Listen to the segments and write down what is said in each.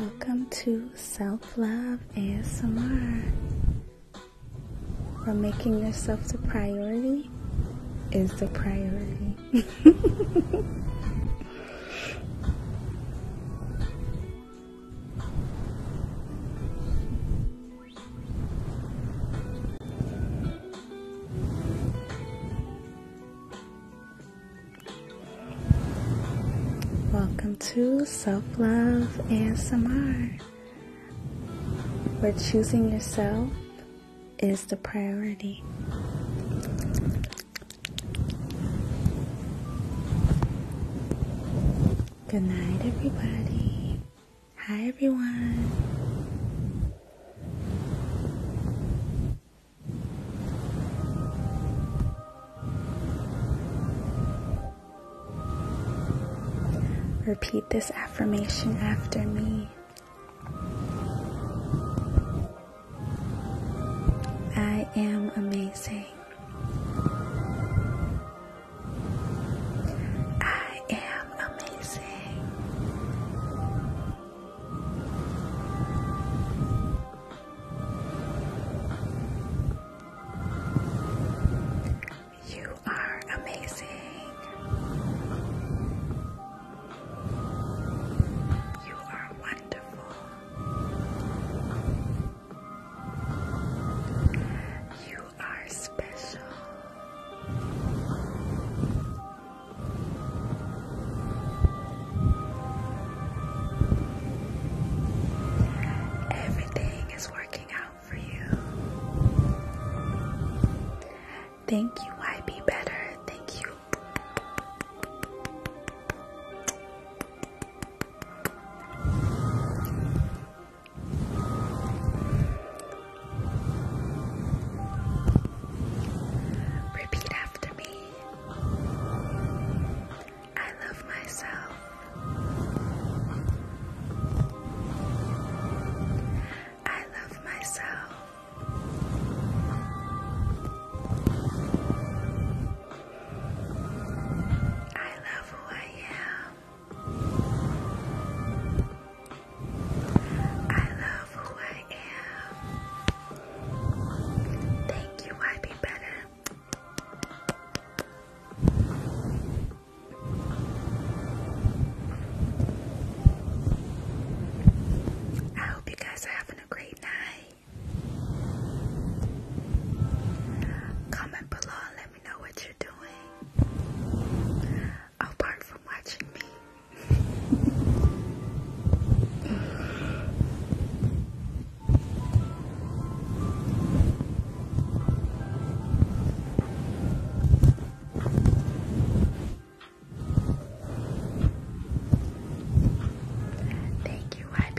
Welcome to Self Love ASMR. Where making yourself the priority is the priority. Welcome to Self Love and ASMR, where choosing yourself is the priority. Good night, everybody. Hi, everyone. Repeat this affirmation after me. I am amazing. I am amazing. You are amazing. You are wonderful. You are special. Everything is working out for you. Thank you, I would Be Better. Thank you, Repeat after me. I love myself. I love myself. I love who I am. I love who I am. Thank you, I be better. I hope you guys are having a great night. Comment below and let me know what you're doing apart from watching me. Thank you, YB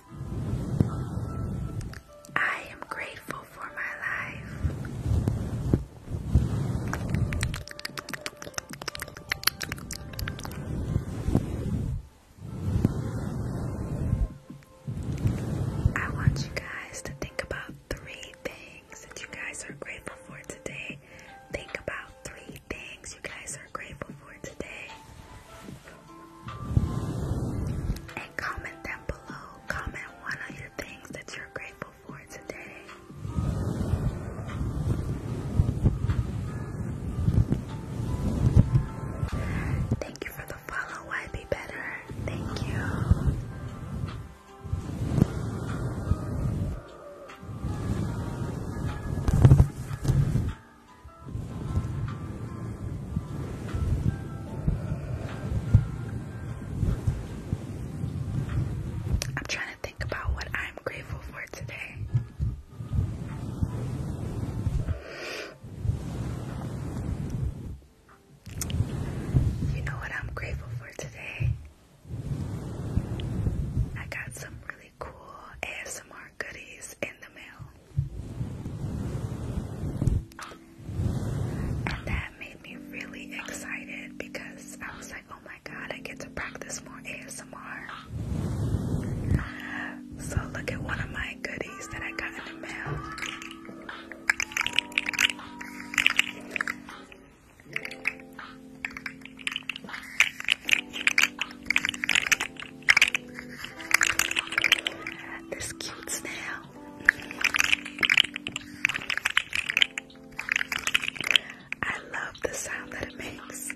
I am grateful for my life. I want you guys to think about three things that you guys are grateful for today. Think about three things you guys are grateful for today. And comment down below. Comment one of your things that you're grateful for today. Thank you for the follow. Why be better? Thank you. I'm trying to think about what I'm grateful for today. You know what I'm grateful for today? I got some really cool ASMR goodies in the mail. And that made me really excited because I was like, oh my god, I get to practice more ASMR. So look at one of my goodies that I got in the mail. This cute snail. I love the sound that it makes.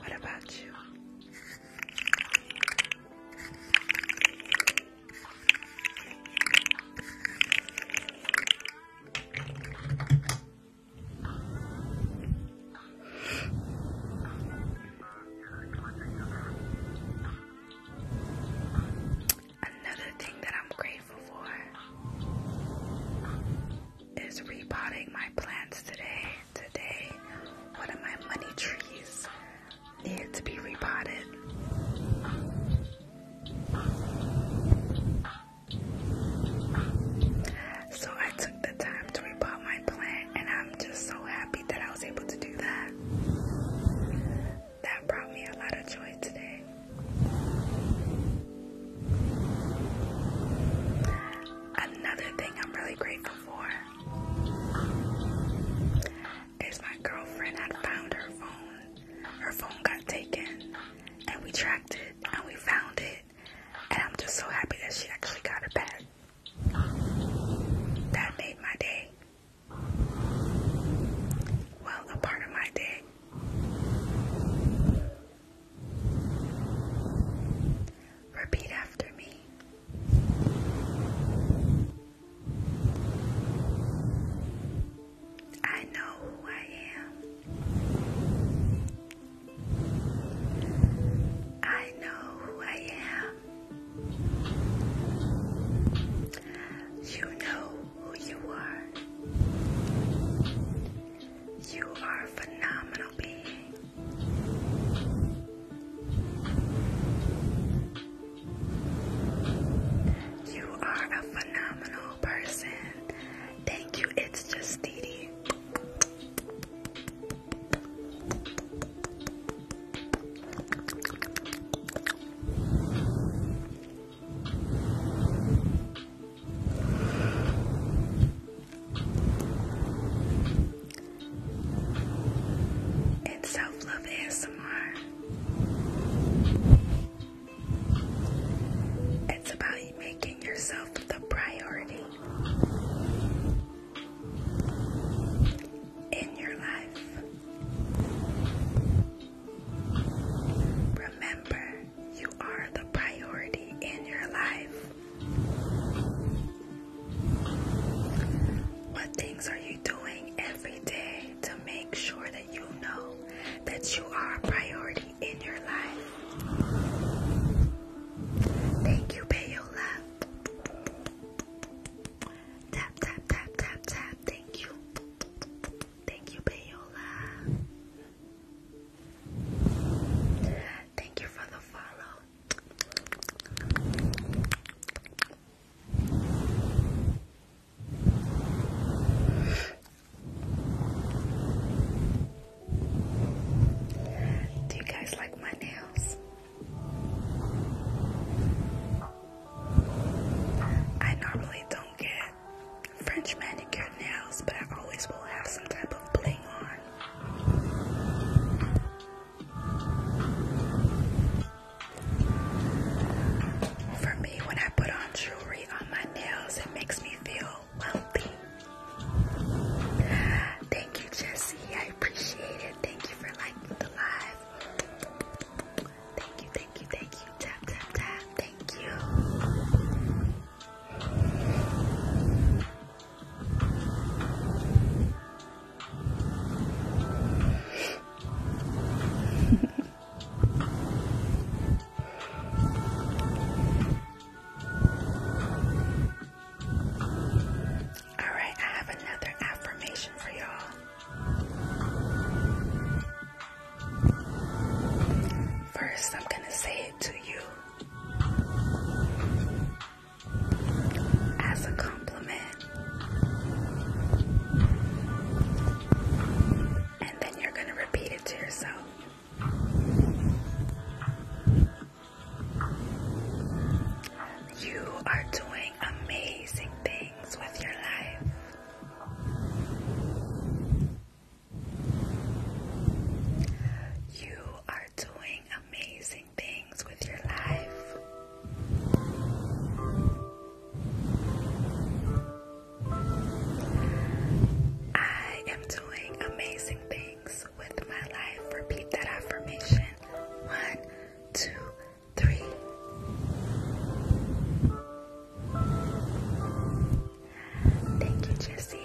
What about you? Another thing that I'm grateful for is repotting my plants today. Today, one of my money trees need to be repotted. So I took the time to repot my plant and I'm just so happy that I was able to do that. That brought me a lot of joy today. Another thing I'm really grateful for is my girlfriend had found her phone. Her phone got taken, and we tracked it, and we found it, and I'm just so happy that she actually got it back. That made my day. Well, a part of my day. Repeat after me. I know who I am. I know who I am. You know who you are. You are a phenomenal being. You are a phenomenal person. Thank you. It's just Dee self love ASMR. It's about making yourself the priority in your life. Remember, you are the priority in your life. What things are you doing every day to make sure that you know that you are a priority in your life. Thank you, Payola. Tap, tap, tap, tap, tap. Thank you. Thank you, Payola. Thank you for the follow. Do you guys like my nails? I normally don't get French manicure nails, but I always will have some type of bling on. For me, when I put on jewelry on my nails, it makes me feel wealthy. Thank you, Jesse. I appreciate it. Thank you for liking the live. Thank you, thank you, thank you. Tap, tap, tap. Thank you. All right, I have another affirmation for y'all. First, I'm going to say it to you as a compliment. And then you're going to repeat it to yourself. You are doing amazing things with your life. You are doing amazing things with your life. I am doing amazing things with my life. Repeat that affirmation. One, two, three. Thank you, Jesse.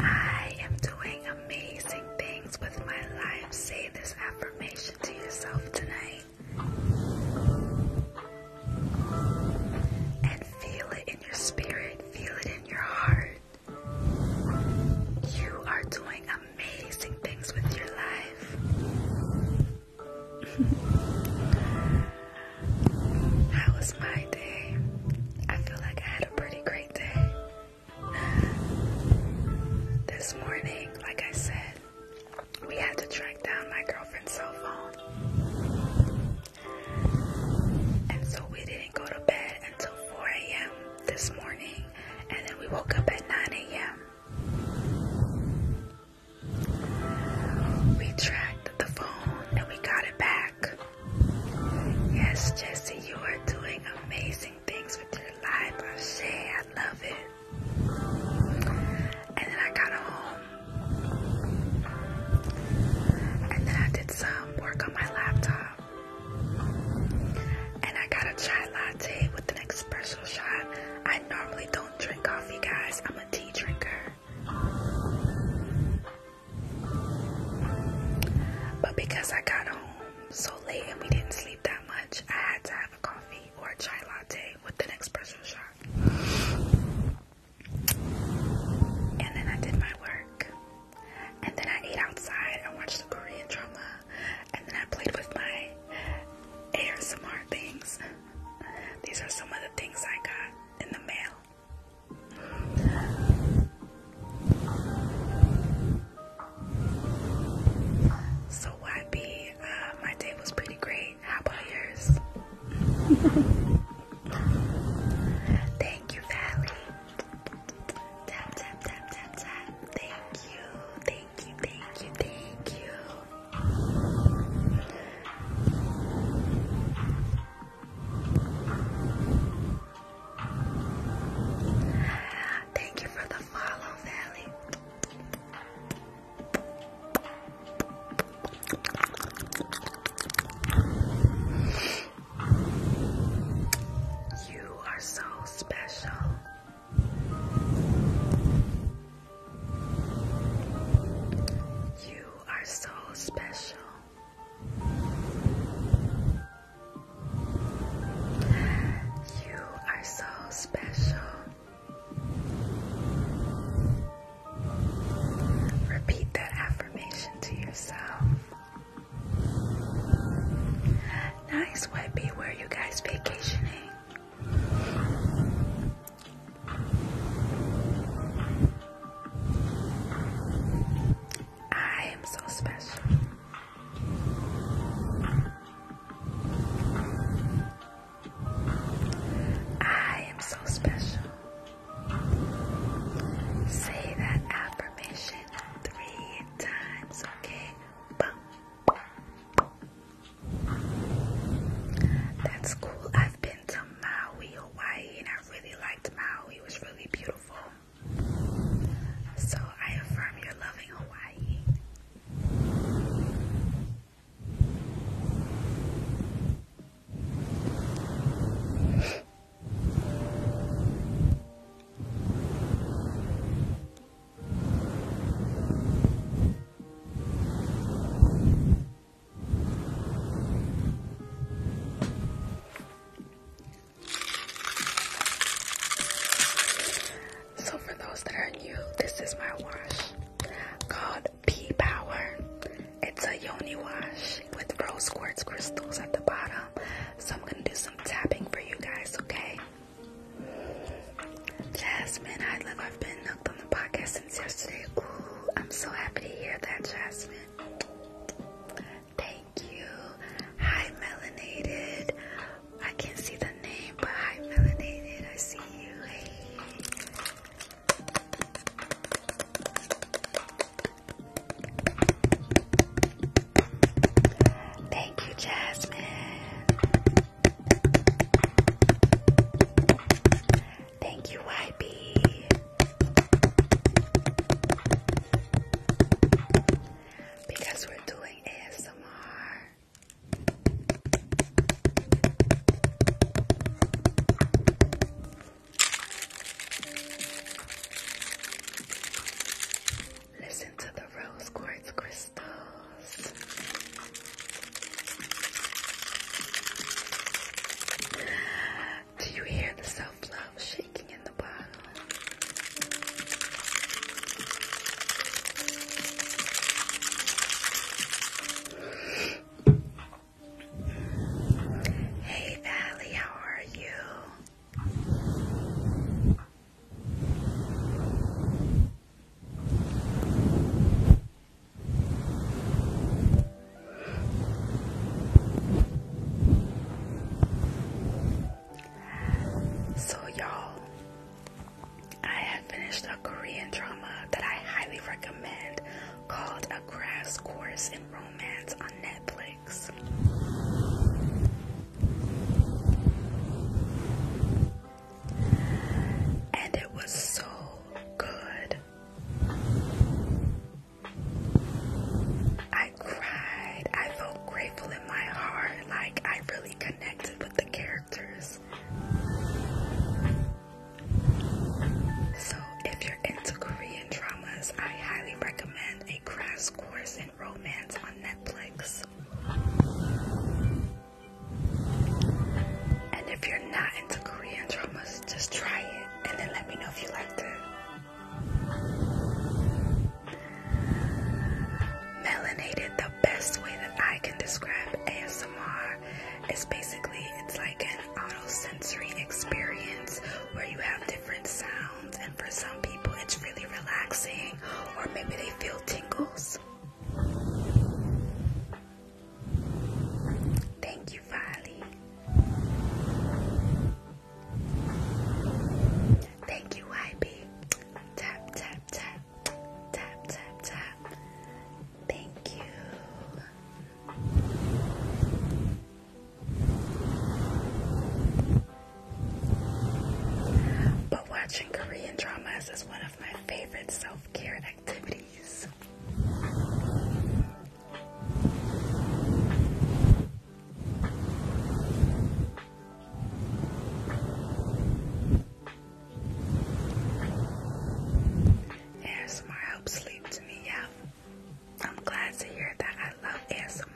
I am doing amazing things with my life. Say this affirmation to yourself tonight and feel it in your spirit, feel it in your heart. You are doing amazing things with your life. How was my day? I feel like I had a pretty great day. This morning, like I said, we had to track down my girlfriend's cell phone. And so we didn't go to bed until 4 a.m. this morning, and then we woke up at 9 a.m. We tracked the phone and we got it back. Yes, Jesse, you are doing amazing things with your life. I say, I love it. And then I got home. And then I did some work on my laptop. And I got a chai latte with an espresso shot. I normally don't drink coffee, guys. I'm a tea drinker. But because I got home so late and we didn't sleep that much, I had to have a coffee or a chai latte with an espresso shot. And then I did my work. And then I ate outside. I watched a Korean drama. And then I played with my Air ASMR things. These are some of the things I got in the mail. So YB, uh, my day was pretty great. How about yours? Thank you, Valley. Tap, tap, tap, tap, tap. Thank you, thank you, thank you, thank you. Thank you for the follow, Valley. You are so special. You are so special. You are so special. Repeat that affirmation to yourself. Nice, Where you guys vacationing? I am so special. I am so special. Say that affirmation three times, okay? That's cool. I've been to Maui, Hawaii, and I really liked Maui. It was really beautiful. So I affirm your love in Hawaii. So for those that are new, this is my wash called P Power. It's a yoni wash with rose quartz crystals at the bottom. So I'm gonna do some tapping for you guys, okay? Jasmine, I love I've been hooked on the podcast since yesterday. Ooh, I'm so happy to hear that, Jasmine. Thank you. Hi, Melanated. I can't see the name, but hi, Melanated. I see you. Thank you, Jasmine. Thank you, YB. Because we're doing ASMR. Listen to the rose quartz crystals. Do you hear the self-love shaking in the bottle? Hey Allie, how are you? So y'all, I have finished a Korean drama that I highly recommend called A Grass Course in Romance on Netflix. And it was so good. I cried. I felt grateful in my heart. Like, I really connected with the characters. So, if you're into Korean dramas, I highly recommend A Crash Course in Romance on Netflix. And if you're not into Korean dramas, just try it and then let me know if you liked it. Melanated, the best way that I can describe ASMR is basically it's like an auto sensory experience where you have different sounds, and for some people it's really relaxing, or maybe they feel tingles. Thank you, Vali. Thank you, YB. Tap, tap, tap. Tap, tap, tap. Thank you. But watching Korean dramas is one of my favorite self care activities. ASMR helps sleep to me, yeah. I'm glad to hear that I love ASMR.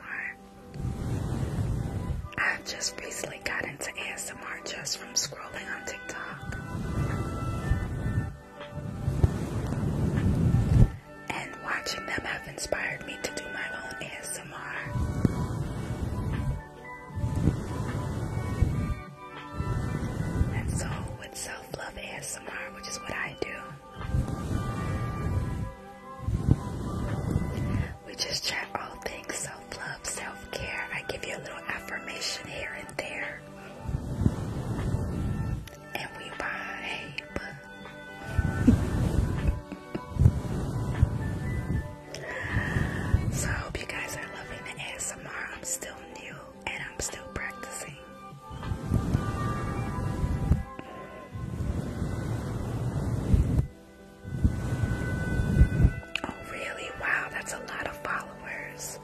i just recently got into ASMR just from scrolling on TikTok and watching them have inspired me to do my own ASMR. And so, with self love ASMR, which is what I do, we just chat all things self love, self care. I give you a little affirmation here and there and we vibe. so hope you guys are loving the ASMR. I'm still new and I'm still practicing. Oh really? Wow, that's a lot of followers.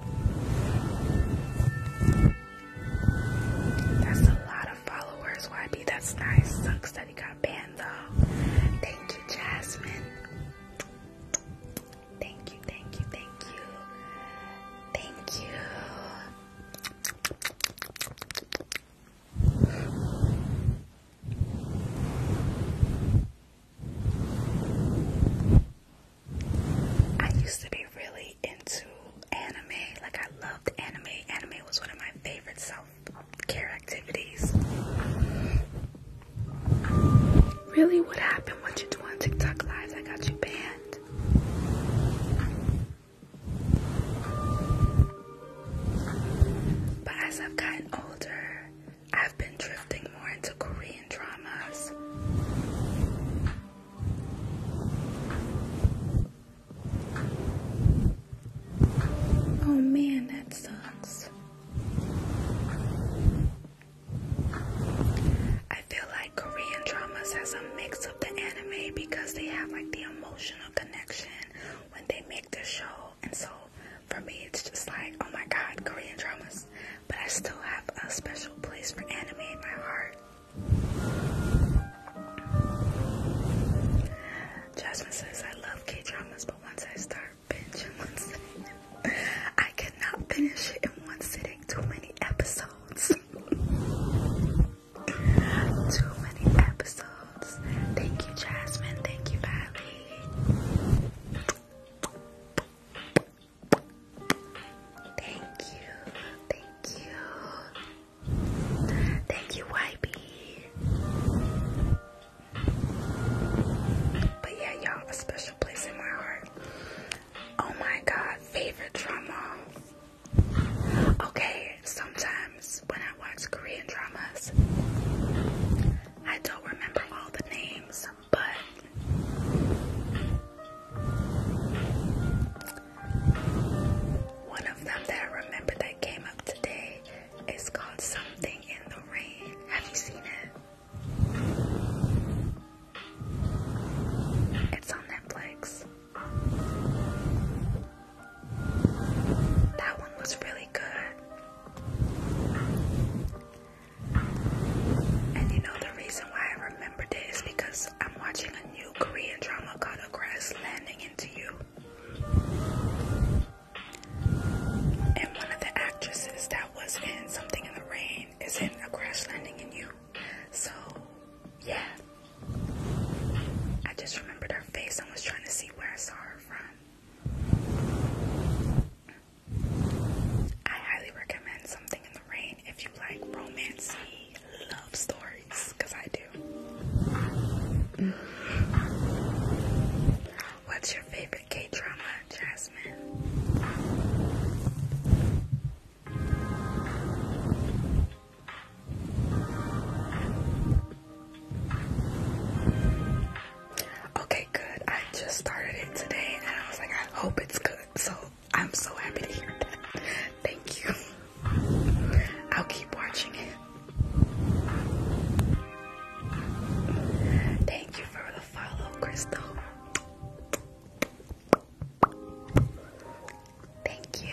That's a lot of followers, YB. That's nice. Sucks that he got banned though. Thank you, Jasmine. Thank you, thank you, thank you. Thank you. I used to be really into anime. Like I loved anime. Anime was one of my favorite self-care activities. Really, what happened? What you do on TikTok lives? I got you banned. But as I've gotten older, I've been drifting more into Korean dramas. Oh man, that sucks. I feel like Korean dramas has a mix of the anime because they have like the emotional connection when they make the show. And so for me, it's just like, oh my god, Korean dramas. But I still have a special place for anime in my heart. Jasmine says, I love K dramas, but once I start binge in one I cannot finish it in one sitting. Too many episodes. Too many episodes. Thank you, Jasmine. Thank you, Valley. Thank you. Thank you. Thank you, YB. But yeah, y'all, a special place in my heart. Oh my god, favorite drama. Okay, sometimes when I watch Korean dramas, I don't remember all the names, but one of them that I remember that came up today is called Something in the Rain. Have you seen it? It's on Netflix. That one was really good. And you know, the reason why I remembered it is because I'm watching a new Korean drama called A Grassland into you. And one of the actresses that was in Something in the Rain is in A Crash Landing in You. So, yeah. I just remembered her face and was trying to see where I saw her from. I highly recommend Something in the Rain if you like romancy love stories because I do. What's your favorite K drama, Jasmine? Okay, good. I just started it today and I was like, I hope it's good. So I'm so happy to hear that. Thank you. I'll keep watching it. Thank you for the follow, Crystal. Thank you.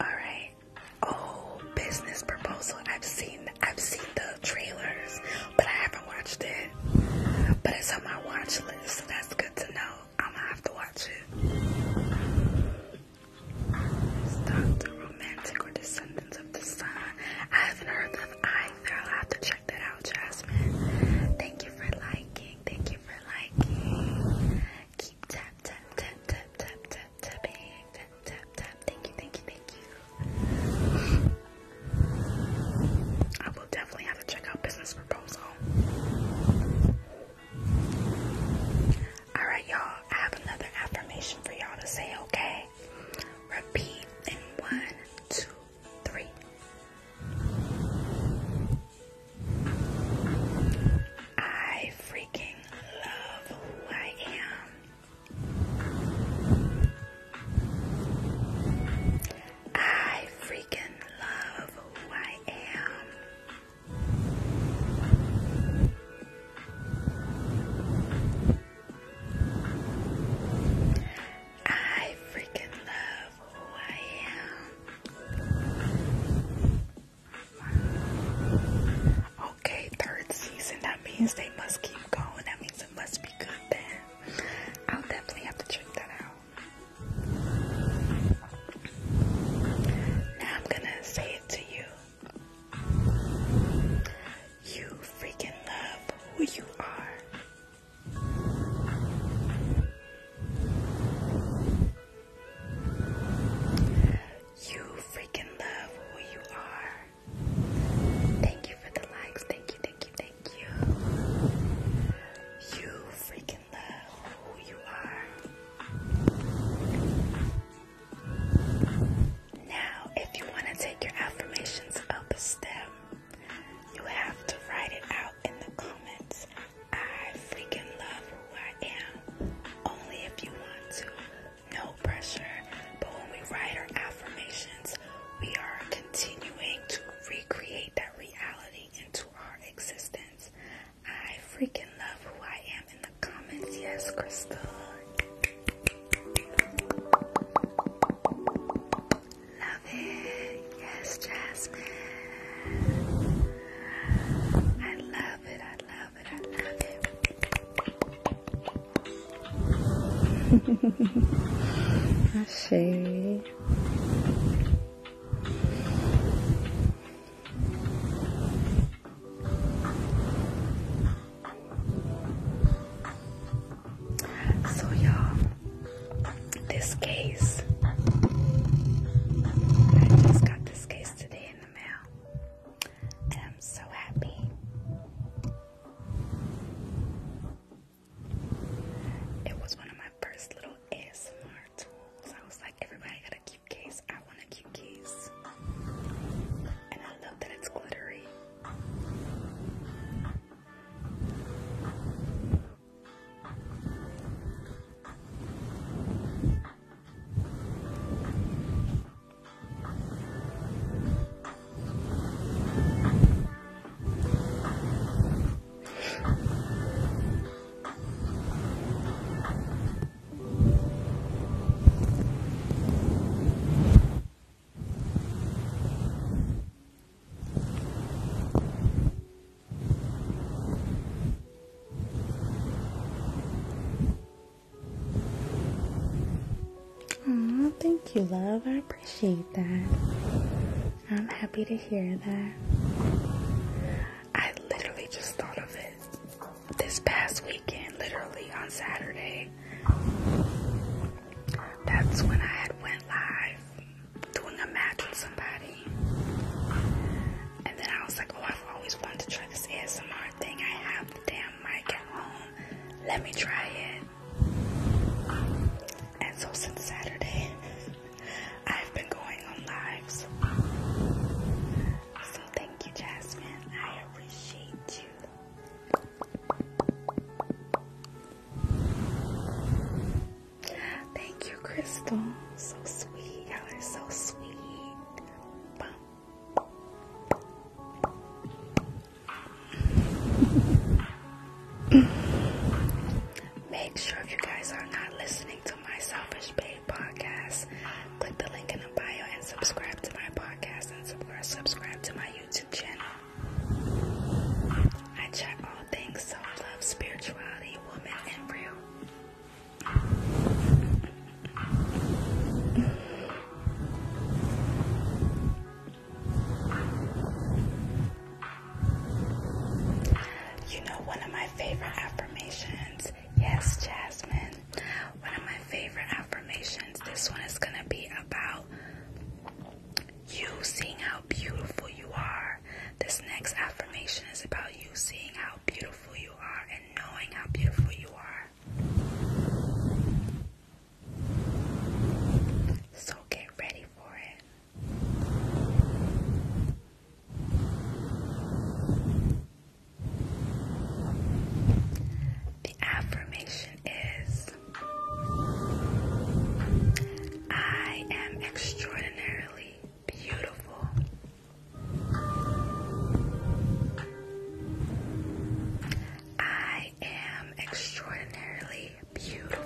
Alright. Oh, business proposal. I've seen I've seen the trailers, but I haven't watched it. But it's on my watch list, so that's good to know. I'm gonna have to watch it. Stop the romantic or descendants of the sun. I haven't heard of either. I'll have to check that out, Jasmine. Thank you for liking. Thank you for liking. Keep tap tap tap tap tapping. Thank you, thank you, thank you. I will definitely have to check out business proposal. Alright, y'all, I have another affirmation for y'all to say, okay? Repeat in one, two, three. I freaking love who I am. I freaking love who I am. I freaking love who I am. Okay, third season. That means they must keep going. That means it must be good then. I'll definitely have to check that out. Now I'm gonna say it to you. You freaking love who you are. You freaking love who you are. Thank you for the likes. Thank you, thank you, thank you. You freaking love who you are. Now, if you want to take your affirmations up a step, you have to write it out in the comments. I freaking love who I am. Only if you want to. No pressure. But when we write our affirmations, we are continuing to recreate that reality into our existence. I freaking love who I am in the comments. Yes, Crystal. Love it. Yes, Jasmine. I love it. I love it. I love it. I shade. So y'all, this case, I just got this case today in the mail, and I'm so happy. It was one of my first little ASMR tools. I was like, everybody gotta cute case. I want a cute case. And I love that it's glittery. Oh, thank you, love. I appreciate that. I'm happy to hear that. I literally just thought of it this past weekend, literally on Saturday, that's when I had went live doing a match with somebody. And then I was like, oh, I've always wanted to try this ASMR thing. I have the damn mic at home. Let me try it. And so since Saturday, I've been going on lives. So thank you, Jasmine. I appreciate you. Thank you, Crystal. So sweet. Y'all are so sweet. Make sure you guys are not listening to my Selfish Babe podcast. Click the link in the bio and subscribe to my podcast and subscribe to my YouTube channel. I chat all things self love, spirituality, woman, and real. You know, one of my favorite affirmations, yes, Jasmine, one of my favorite affirmations. This one is going to be about you seeing how beautiful you are. This next affirmation is about you seeing how beautiful you are and knowing how beautiful you are. So get ready for it. The affirmation is I am extraordinarily beautiful. I am extraordinarily beautiful.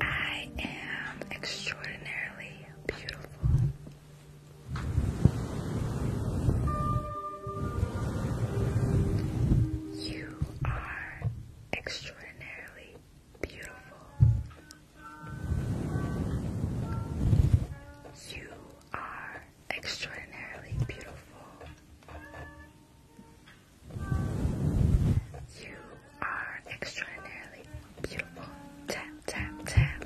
I am extraordinarily beautiful. You are extraordinarily beautiful. You are extraordinarily beautiful. You are extraordinarily beautiful. Tap, tap, tap.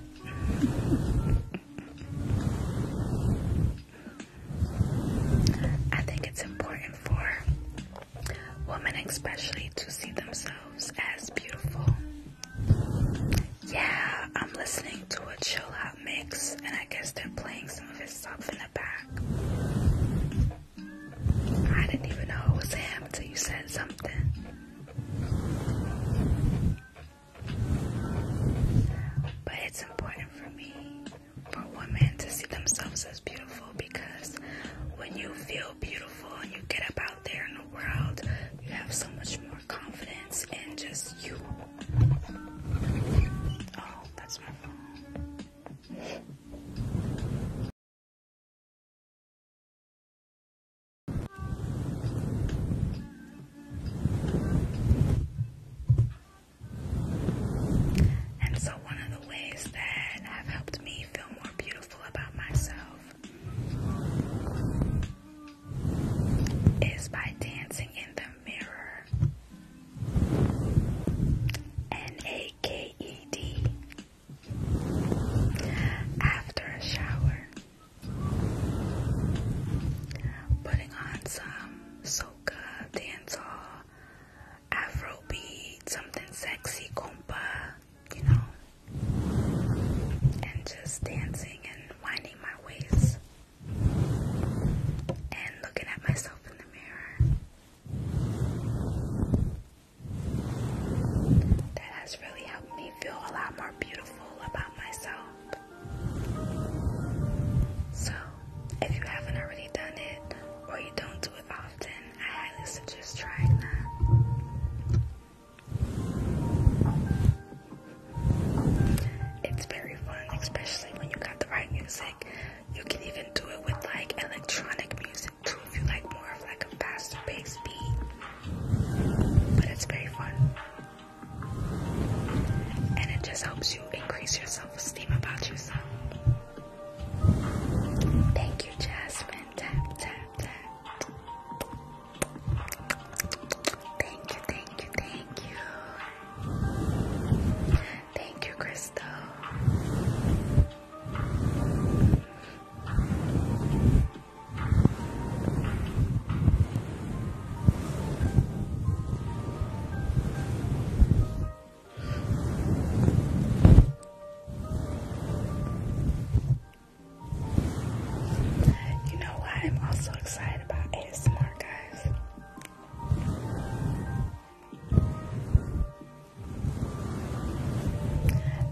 I think it's important for women, especially, to see themselves as beautiful. Yeah, I'm listening to a chillout out mix, and I guess they're playing some of his stuff in the back. I didn't even know it was him until you said something. But it's important for me, for women, to see themselves as beautiful because when you feel beautiful and you get up out there in the world, you have so much more confidence in just you. Oh, that's my phone. And so, one of the ways that have helped me feel more beautiful about myself is by dancing in the mirror. And a K E D. after a shower putting on some soca dancehall afrobeat something sexy compa you know and just dancing and winding my waist and looking at myself in the mirror that has really helped me feel a lot more beautiful about myself. So, if you haven't already done it, or you don't do it often, I highly suggest trying that. It's very fun, especially when you got the right music. You can even do it with like electronic music too if you like more of like a faster pace beat. But it's very fun. And it just helps you increase your self-esteem about yourself. Thank you, Jasmine. Tap, tap, tap. Thank you, thank you, thank you. Thank you, Crystal. You know what? I'm also excited about ASMR, guys.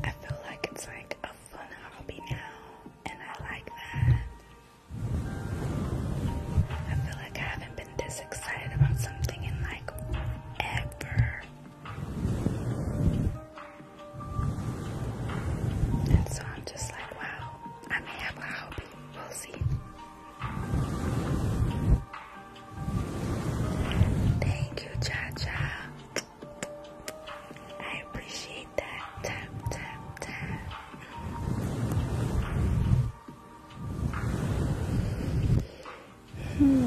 I feel like it's like a fun hobby now, and I like that. I feel like I haven't been this excited about something in like ever. And so I'm just like, wow, I may have a hobby. We'll see. Thank you, Cha I appreciate that. Hmm.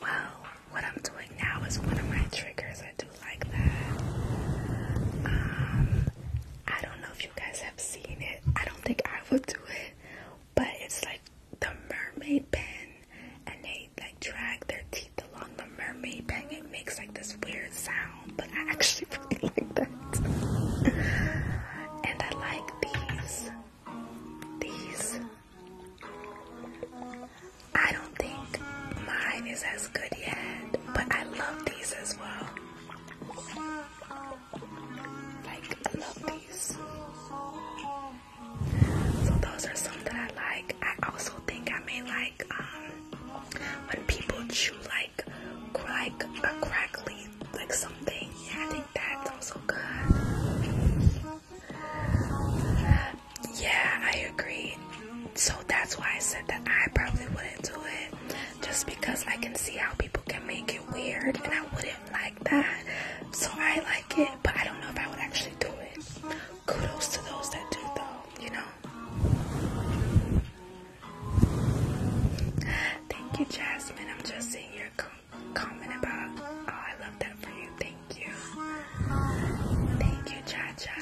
Well, what I'm doing now is one of my triggers. I do like that. Um, I don't know if you guys have seen it. I don't think I would do it, but it's like the mermaid pen and they like drag their teeth along the mermaid pen it makes like this weird sound but I actually really like that and I like these these I don't think mine is as good yet but I love these as well like I So those are some that I like. I also think I may like um, when people chew like like a crackly like something. Yeah, I think that's also good. Yeah, I agree. So that's why I said that I probably wouldn't do it. Just because I can see how people can make it weird and I wouldn't like that. So I like it, but I don't know if I would actually do it. Kudos to those that do, though, you know? Thank you, Jasmine. I'm just seeing your comment about. Oh, I love that for you. Thank you. Thank you, Cha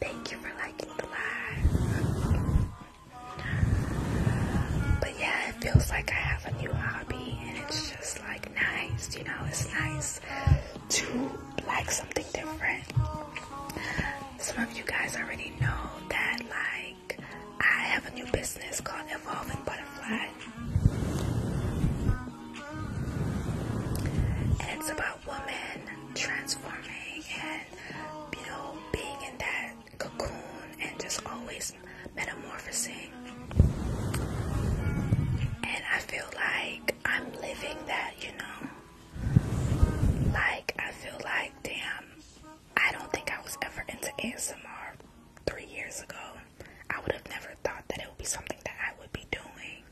Thank you for liking the live. But yeah, it feels like I have a new hobby and it's just like nice, you know, it's nice to like something different. Some of you guys already know that like I have a new business called Evolving Butterfly. And it's about women transforming and you know being in that cocoon and just always metamorphosing. And I feel like I'm living that, you know? Like, I feel like, damn, I don't think I was ever into ASMR three years ago. I would have never thought that it would be something that I would be doing.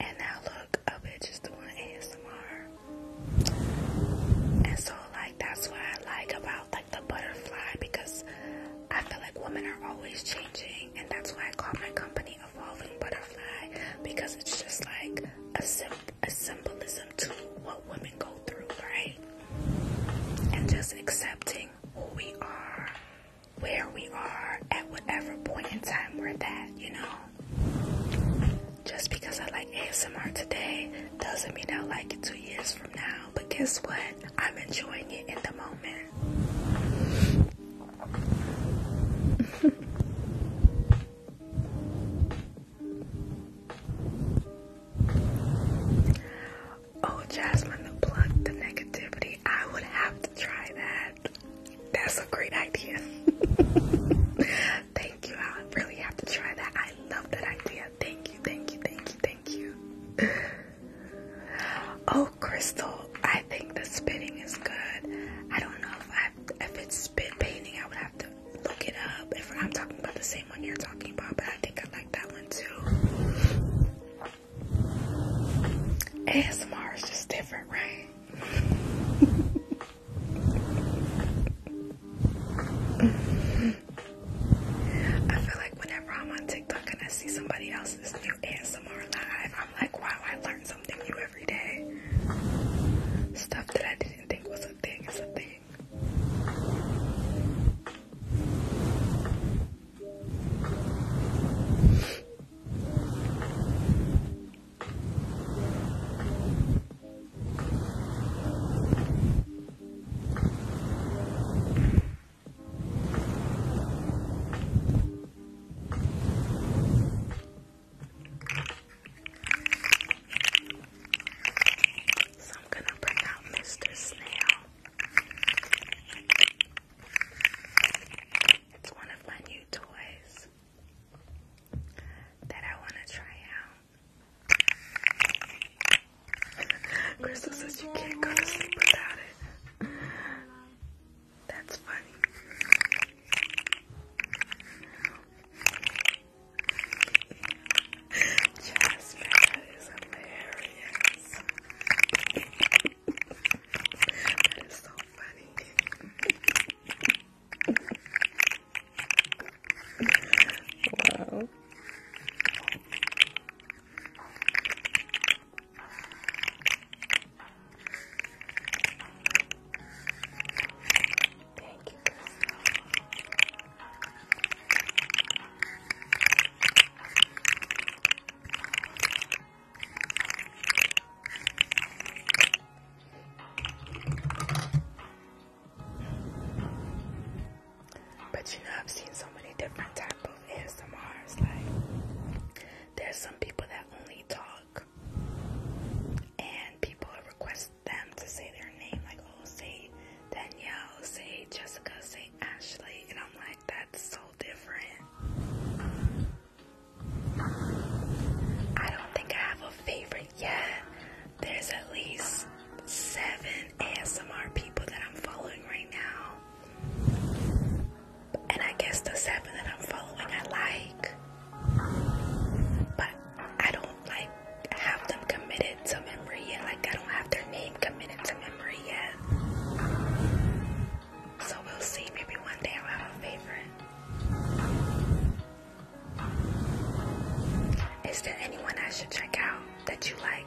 And now look look of it doing ASMR. And so like that's what I like about like the butterfly because I feel like women are always changing and that's why I call my company Evolving Butterfly because it's just like a, sim a symbolism to what women go through, right? And just accepting who we are, where we are, at whatever point in time we're at, you know? Just because I like ASMR today doesn't mean I'll like it two years from now. But guess what? I'm enjoying it in the moment. oh, Jasmine, to plug the negativity. I would have to try that. That's a great idea. Thank you. I really have to try that. I love that idea. Thank you, thank you, thank you, thank you. oh, Crystal, I think the spinning is good. I don't know if I if it's spin painting. I would have to look it up. If I'm talking about the same one you're talking about, but I think I like that one too. ASMR is just different, right? I feel like whenever I'm on TikTok and I see somebody else's new ASMR live, I'm like, wow, I learn something new every day. Stuff that I didn't think was a thing is a thing. So I'm going to bring out Mr. Snail. It's one of my new toys that I want to try out. Crystal says you can't go to sleep without it. That's funny. Jasmine is hilarious. that is so funny wow. Thank you, Crystal. But you know, I've seen so many different type of ASMRs. Like, there's some people that only talk, and people request them to say their name. Like, oh, say Danielle, say Jessica, say Ashley, and I'm like, that's so different. I don't think I have a favorite yeah, there's at least seven ASMR people that I'm following right now. And I guess the seven that I'm following I like. But I don't like have them committed to memory yet. Like I don't have their name committed to memory yet. So we'll see. Maybe one day I'll have a favorite. Is there anyone I should check out that you like?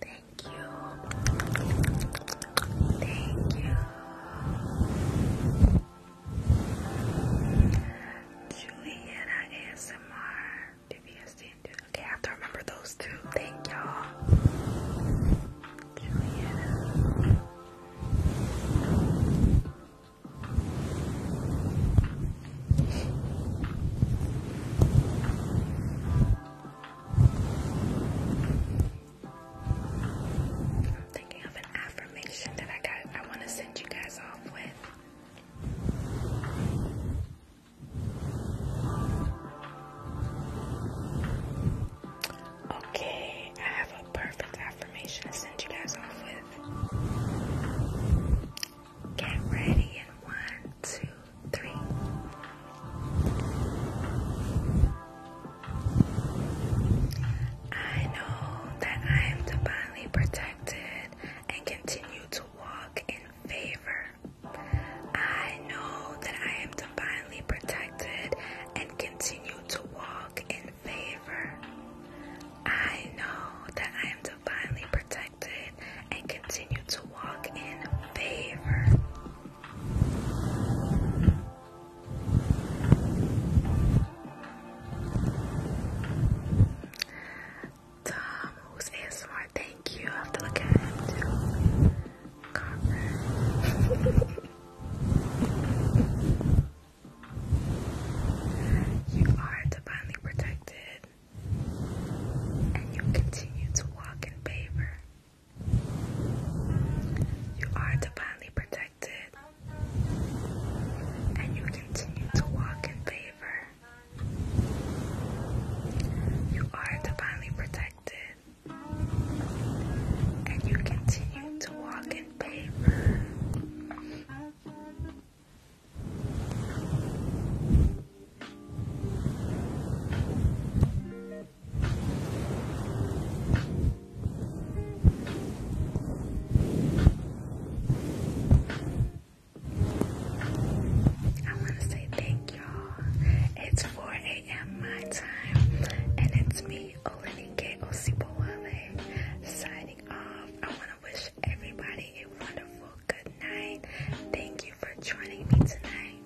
Thank you. Thank you. Juliana ASMR. Okay, I have to remember those two. Thank y'all. I'm thinking of an affirmation that I got I want to send you guys off with. Okay, I have a perfect affirmation to send you guys off with. Get ready in one, two, three. I know that I am divinely protected and continue to walk in favor. I know that I am divinely protected and continue to walk in favor. I know that I am divinely protected and continue to walk in favor. Tom, who's ASMR, thank you. have to look at him too. you are divinely protected and you continue to walk in favor. You are divinely protected, and you continue to walk in favor. You are divinely protected, and you continue to walk in favor. I want to say thank y'all. It's 4 a.m. my time, and it's me, Olenike Osibowale, signing off. I want to wish everybody a wonderful good night. Thank you for joining me tonight.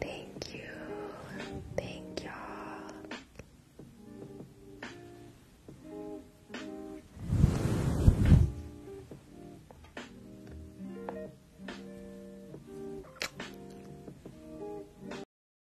Thank you. Thank y'all.